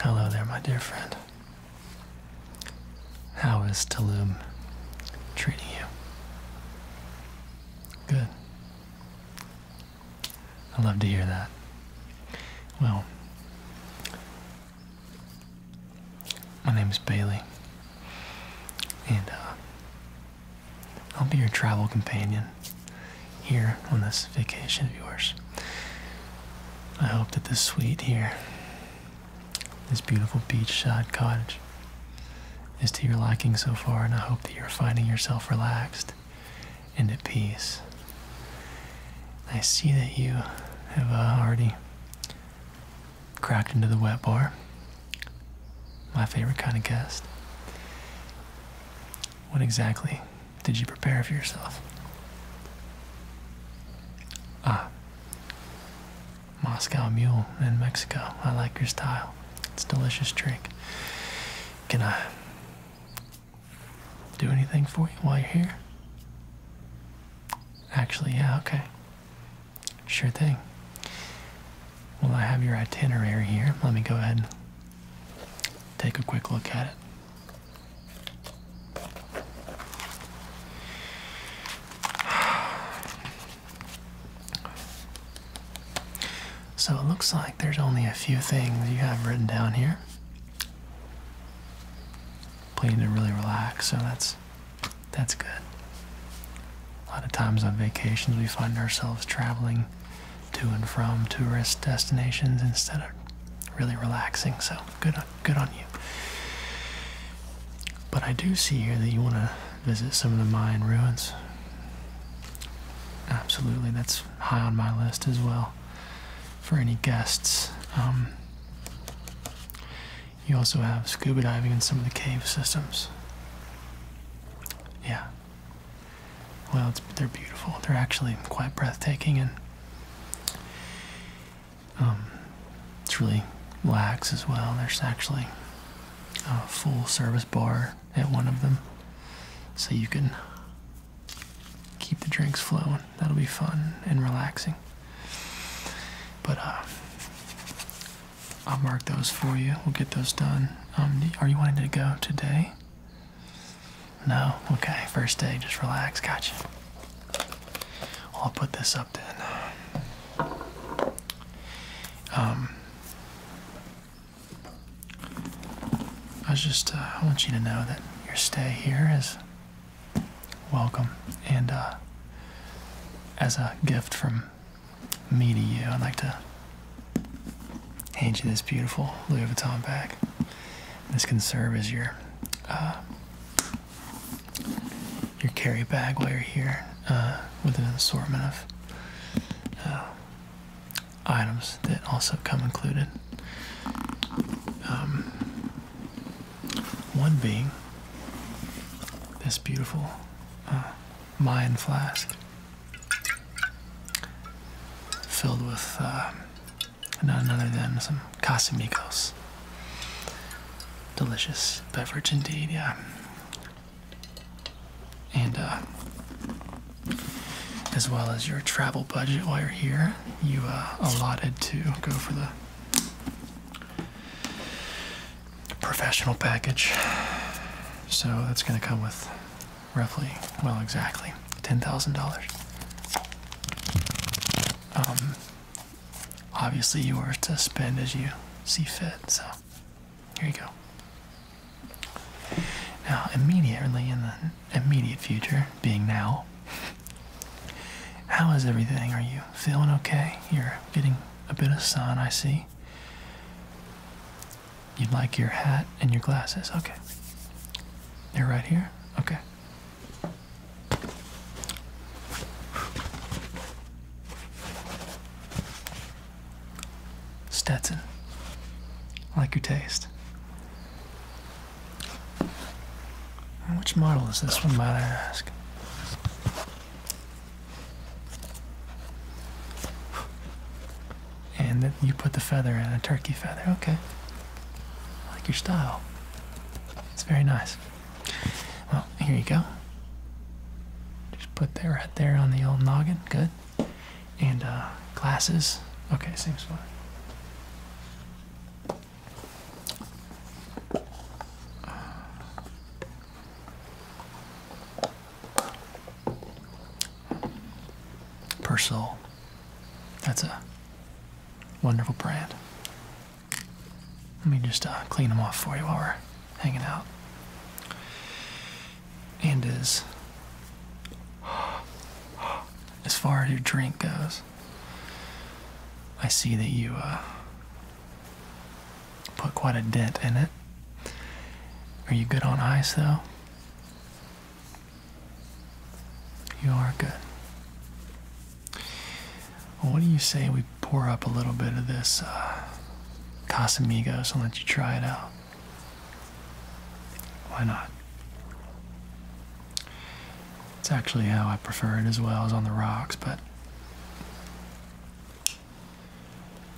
Hello there, my dear friend. How is Tulum treating you? Good. I love to hear that. Well, my name is Bailey, and uh, I'll be your travel companion here on this vacation of yours. I hope that this suite here, this beautiful beachside cottage, is to your liking so far, and I hope that you're finding yourself relaxed and at peace. I see that you have uh, already cracked into the wet bar, my favorite kind of guest. What exactly did you prepare for yourself? Ah. Moscow Mule in Mexico. I like your style. It's a delicious drink. Can I do anything for you while you're here? Actually, yeah, okay. Sure thing. Well, I have your itinerary here. Let me go ahead and take a quick look at it. So it looks like there's only a few things you have written down here. Plan to really relax, so that's that's good. A lot of times on vacations we find ourselves traveling to and from tourist destinations instead of really relaxing. So good, on, good on you. But I do see here that you want to visit some of the Mayan ruins. Absolutely, that's high on my list as well. For any guests, um, you also have scuba diving in some of the cave systems. Yeah. Well, they're beautiful. They're actually quite breathtaking and um, it's really lax as well. There's actually a full service bar at one of them, so you can keep the drinks flowing. That'll be fun and relaxing. But uh, I'll mark those for you. We'll get those done. Um, are you wanting to go today? No? Okay, first day, just relax, gotcha. I'll put this up then. Um, I was just, uh, I want you to know that your stay here is welcome. And uh, as a gift from me to you, I'd like to hand you this beautiful Louis Vuitton bag. This can serve as your uh, your carry bag while you're here uh, with an assortment of uh, items that also come included. Um, one being this beautiful Mayan flask filled with not another than some Casamigos. Delicious beverage indeed, yeah. And uh, as well as your travel budget while you're here, you uh, allotted to go for the professional package. So that's going to come with roughly, well, exactly $10,000. Um, obviously, you are to spend as you see fit, so here you go. Now, immediately in the immediate future, being now, how is everything? Are you feeling okay? You're getting a bit of sun, I see. You'd like your hat and your glasses. Okay. They're right here. Okay. Stetson. I like your taste. Which model is this one, might I ask? and then you put the feather and a turkey feather. Okay, I like your style. It's very nice. Well, here you go. Just put that right there on the old noggin. Good. And uh, glasses. Okay, seems fine. Purcell that's a wonderful brand. Let me just uh, clean them off for you while we're hanging out. And as, as far as your drink goes, I see that you uh, put quite a dent in it. Are you good on ice though? You are good. what do you say we pour up a little bit of this uh, Casamigos and let you try it out? Why not? It's actually how I prefer it as well as on the rocks, but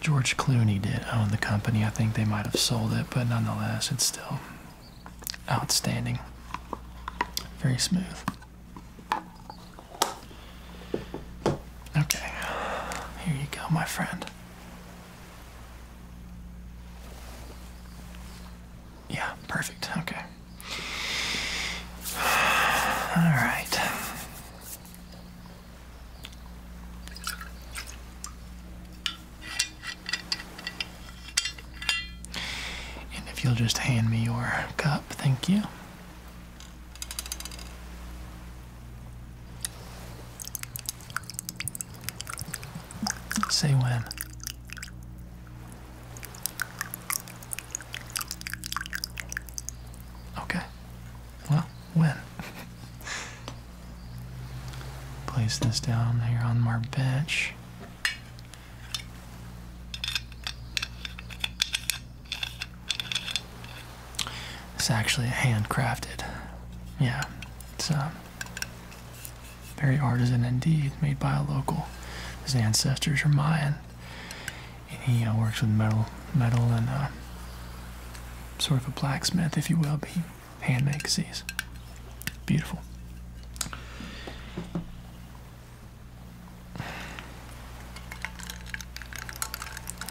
George Clooney did own the company. I think they might have sold it, but nonetheless, it's still Outstanding. Very smooth. Okay, here you go, my friend. Yeah, perfect. Okay. All right. And if you'll just hand me your cup, thank you. Say when. Okay. Well, when? Place this down here on my bench. It's actually handcrafted. Yeah, it's uh, very artisan indeed, made by a local. His ancestors are Mayan, and he uh, works with metal, metal and uh, sort of a blacksmith, if you will. But Handmade, makes these. Beautiful.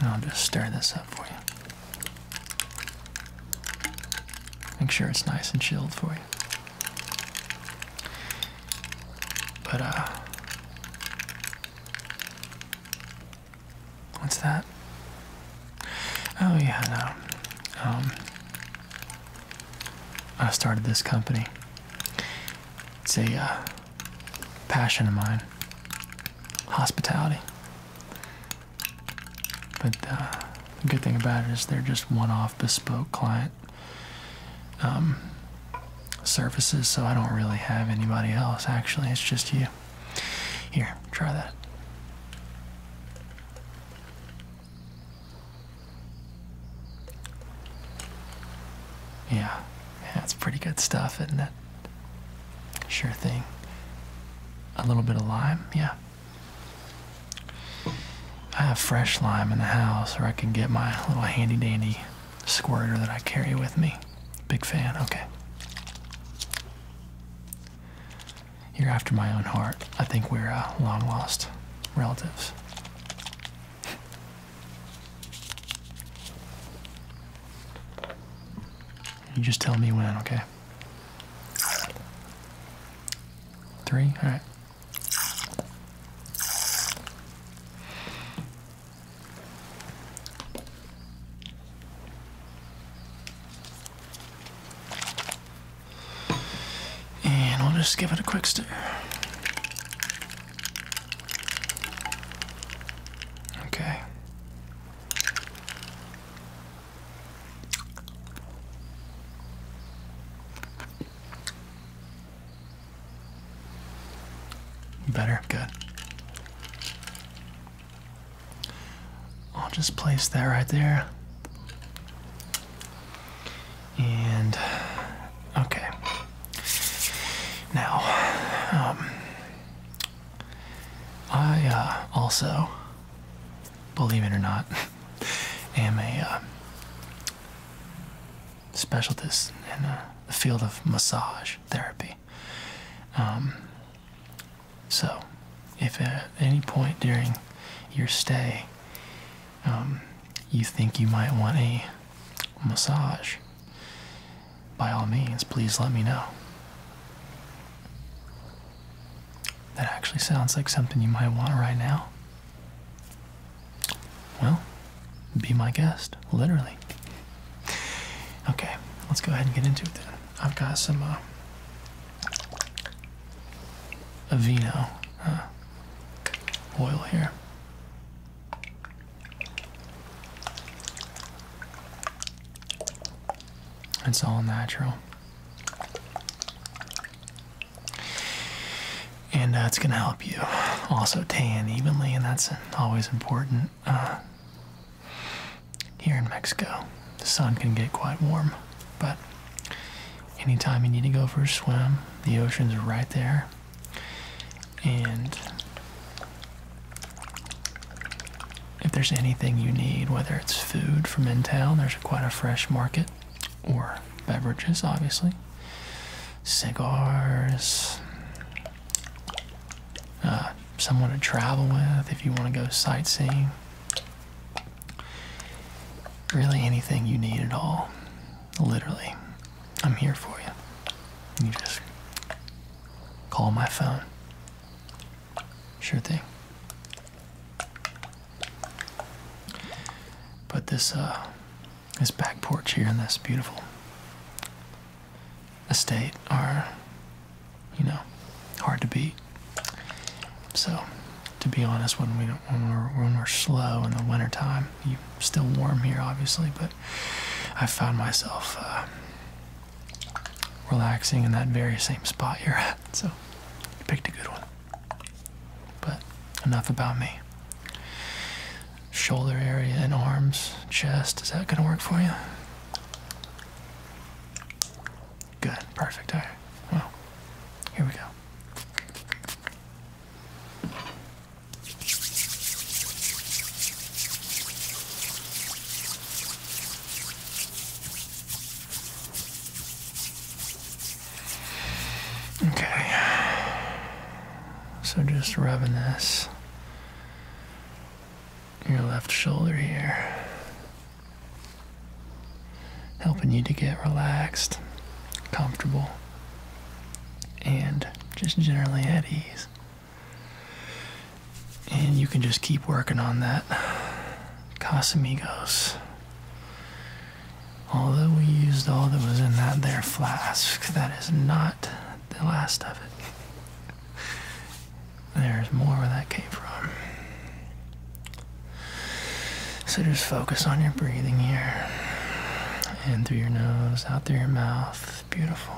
I'll just stir this up for you. Make sure it's nice and chilled for you. But, uh, what's that? Oh yeah, Um, I started this company. It's a uh, passion of mine. Hospitality. But uh, the good thing about it is they're just one-off bespoke client um, services, so I don't really have anybody else. Actually, it's just you. Here, try that. Yeah, that's yeah, pretty good stuff, isn't it? Sure thing. A little bit of lime, yeah. I have fresh lime in the house, or I can get my little handy dandy squirter that I carry with me. Big fan, okay. You're after my own heart. I think we're uh, long lost relatives. You just tell me when, okay? Three? Alright. And we'll just give it a quick stir. Okay. Better, good. I'll just place that right there. And okay. Now, um, I uh, also, believe it or not, am a uh, specialist in uh, the field of massage therapy. Um, so, if at any point during your stay um, you think you might want a massage, by all means, please let me know. That actually sounds like something you might want right now. Well, be my guest, literally. Okay, let's go ahead and get into it then. I've got some uh, a vino, oil here. It's all natural. And uh, it's going to help you also tan evenly, and that's always important. Uh, here in Mexico, the sun can get quite warm, but anytime you need to go for a swim, the ocean's right there. And if there's anything you need, whether it's food from in town, there's quite a fresh market, or beverages, obviously, cigars, uh, someone to travel with if you want to go sightseeing. Really, anything you need at all. Literally, I'm here for you. You just call my phone. Sure thing. But this uh, this back porch here in this beautiful estate are you know, hard to beat. So, to be honest, when we when we're slow in the wintertime, you still warm here, obviously, but I found myself uh, relaxing in that very same spot you're at. So, you picked a good one. But enough about me. Shoulder area and arms, chest. Is that gonna work for you? Good, perfect. All right. Well, here we go. Okay. So just rubbing this your left shoulder here. Helping you to get relaxed, comfortable, and just generally at ease. And you can just keep working on that. Casamigos. Although we used all that was in that there flask, that is not the last of it. There's more where that came from. So just focus on your breathing here. In through your nose, out through your mouth. Beautiful.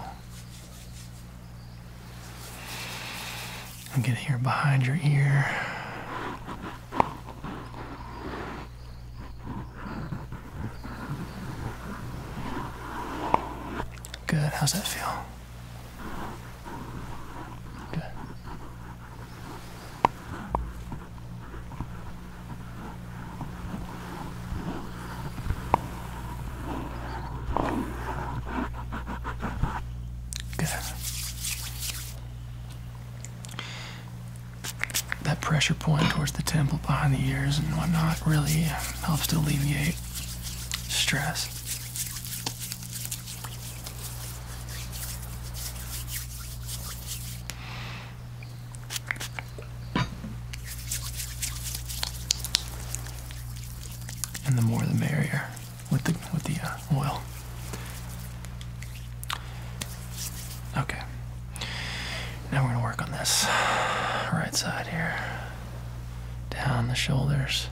And get here behind your ear. Good. How's that feel? Okay. Good. That pressure point towards the temple behind the ears and whatnot really um, helps to alleviate stress. And the more the merrier with the with the uh, oil. Okay. Now we're gonna work on this right side here. Down the shoulders.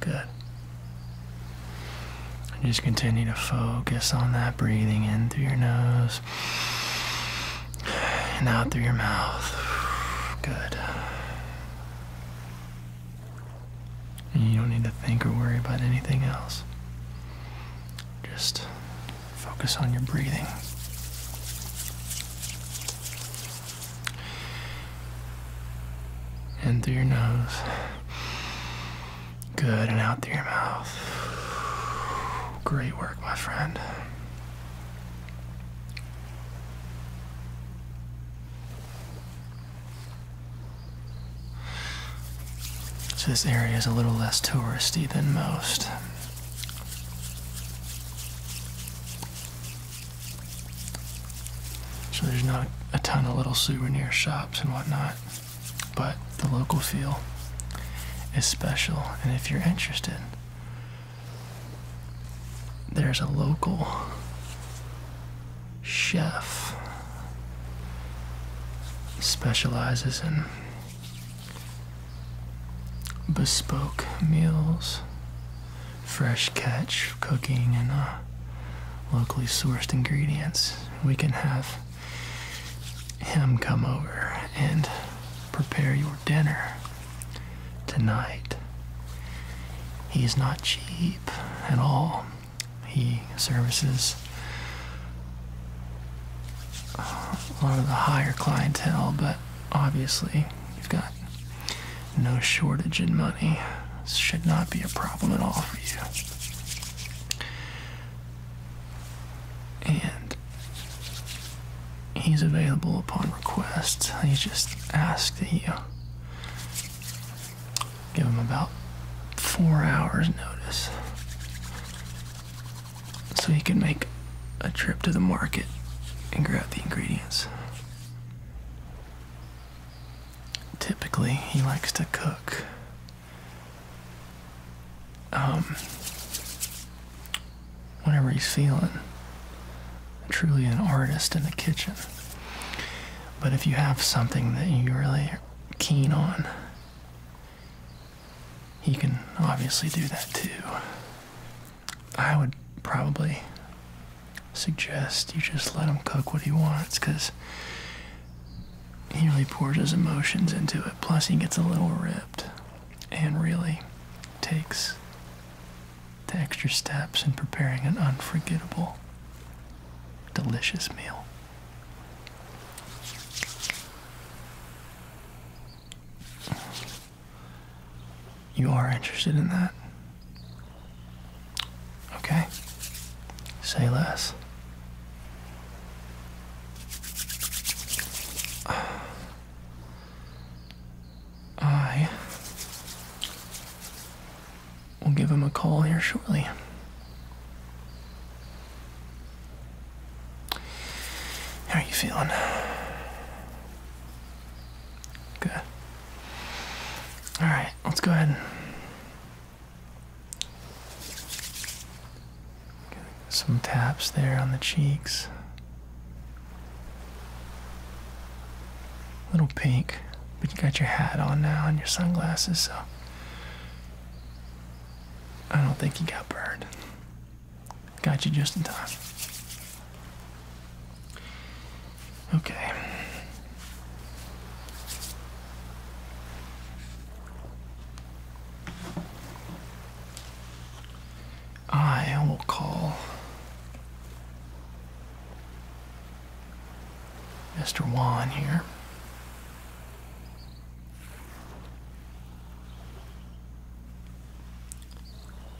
Good. just continue to focus on that breathing in through your nose and out through your mouth. Good. And you don't need to think or worry about anything else. Just Focus on your breathing. In through your nose. Good, and out through your mouth. Great work, my friend. So this area is a little less touristy than most. So there's not a ton of little souvenir shops and whatnot, but the local feel is special. And if you're interested, there's a local chef specializes in bespoke meals, fresh catch cooking, and uh, locally sourced ingredients. We can have him come over and prepare your dinner tonight. He is not cheap at all. He services a lot of the higher clientele, but obviously you've got no shortage in money. This should not be a problem at all for you. And he's available upon request. He just asks that you give him about four hours' notice so he can make a trip to the market and grab the ingredients. Typically, he likes to cook. Um, whenever he's feeling truly an artist in the kitchen. But if you have something that you're really keen on, he can obviously do that too. I would probably suggest you just let him cook what he wants because he really pours his emotions into it. Plus, he gets a little ripped and really takes the extra steps in preparing an unforgettable, delicious meal. You are interested in that? Okay. Say less. I will give him a call here shortly. How are you feeling? Good. Alright, let's go ahead some taps there on the cheeks. little pink, but you got your hat on now and your sunglasses, so I don't think he got burned. Got you just in time. Okay. I will call Mr. Wan here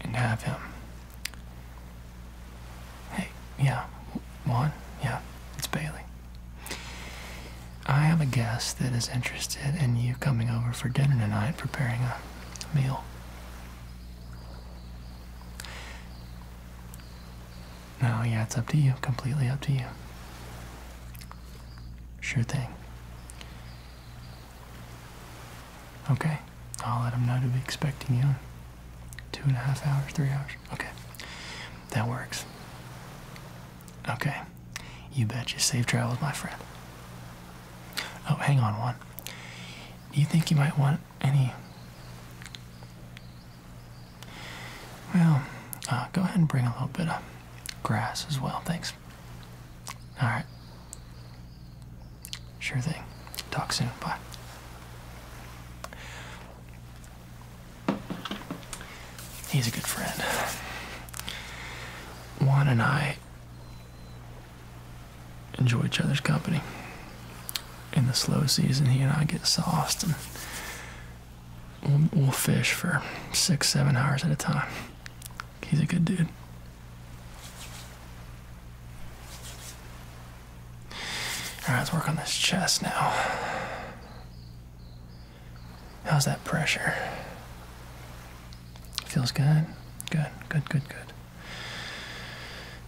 and have him. Hey, yeah, Juan? Yeah, it's Bailey. I have a guest that is interested in you coming over for dinner tonight, preparing a meal. No, yeah, it's up to you. Completely up to you. Sure thing. Okay, I'll let them know to be expecting you in two and a half hours, three hours. Okay, that works. Okay, you bet. You Safe travels, my friend. Oh, hang on one. Do you think you might want any well, uh, go ahead and bring a little bit of grass as well. Thanks. All right. Sure thing. Talk soon. Bye. He's a good friend. Juan and I enjoy each other's company. In the slow season, he and I get sauced we'll, fish for six, seven hours at a time. He's a good dude. All right, let's work on this chest now. How's that pressure? Feels good? Good, good, good, good.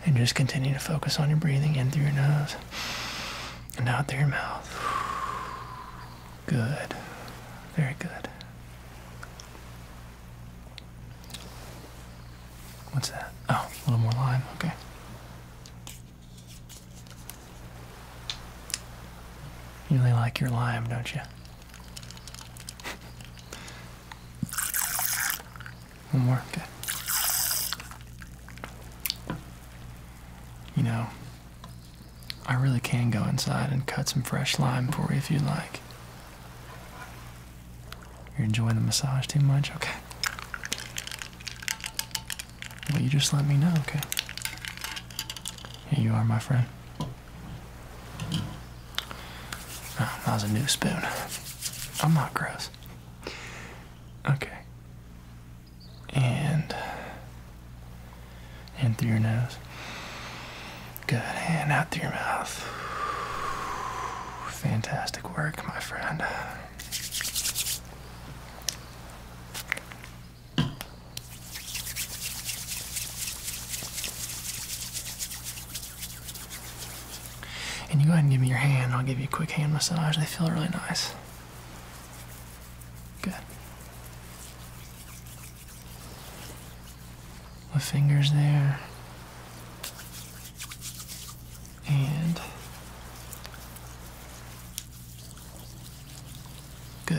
And just continue to focus on your breathing in through your nose and out through your mouth. Good. Very good. What's that? Oh, a little more lime. Okay. You really like your lime, don't you? One more. Good. You know, I really can go inside and cut some fresh lime for you if you'd like. You're enjoying the massage too much? Okay. Well, you just let me know, okay? Here you are, my friend. Ah, that was a new spoon. I'm not gross. Okay and in through your nose. Good, and out through your mouth. Fantastic work, my friend. And you go ahead and give me your hand. I'll give you a quick hand massage. They feel really nice. Good. My fingers there. And. Good.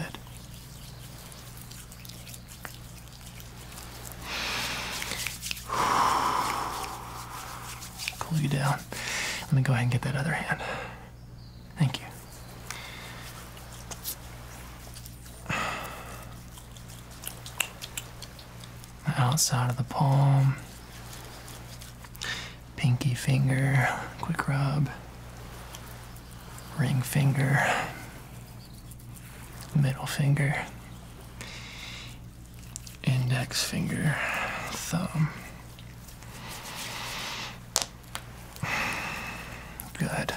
Cool you down. Let me go ahead and get that other hand. Thank you. outside of the palm, pinky finger, quick rub, ring finger, middle finger, index finger, thumb. Good.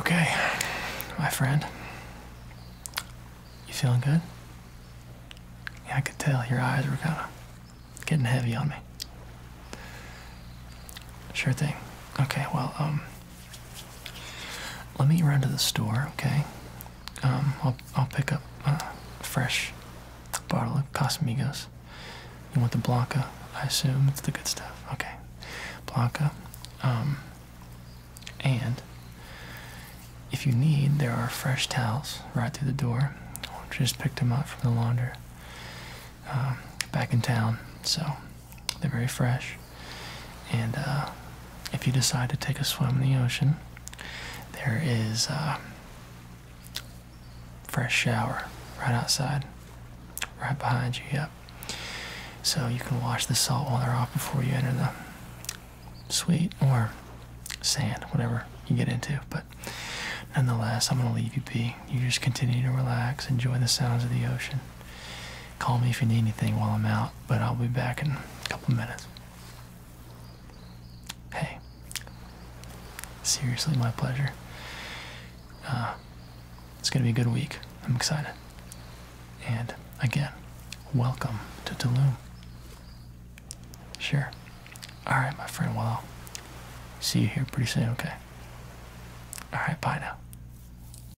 Okay, my friend. You feeling good? Yeah, I could tell your eyes were kind of getting heavy on me. Sure thing. Okay, well, um, let me run to the store, okay? Um, I'll, I'll pick up a fresh bottle of Casamigos. You want the Blanca? I assume it's the good stuff. Okay. Blanca. Um, and if you need, there are fresh towels right through the door. Just picked them up from the launder um, back in town. So they're very fresh. And uh, if you decide to take a swim in the ocean, there is a uh, fresh shower right outside, right behind you. Yep. So you can wash the salt water off before you enter the suite or sand, whatever you get into. But nonetheless, I'm going to leave you be. You just continue to relax, enjoy the sounds of the ocean. Call me if you need anything while I'm out, but I'll be back in a couple minutes. Hey, seriously, my pleasure. Uh, it's going to be a good week. I'm excited. And again, welcome to Tulum. Sure. All right, my friend. Well, see you here pretty soon, okay? All right, bye now.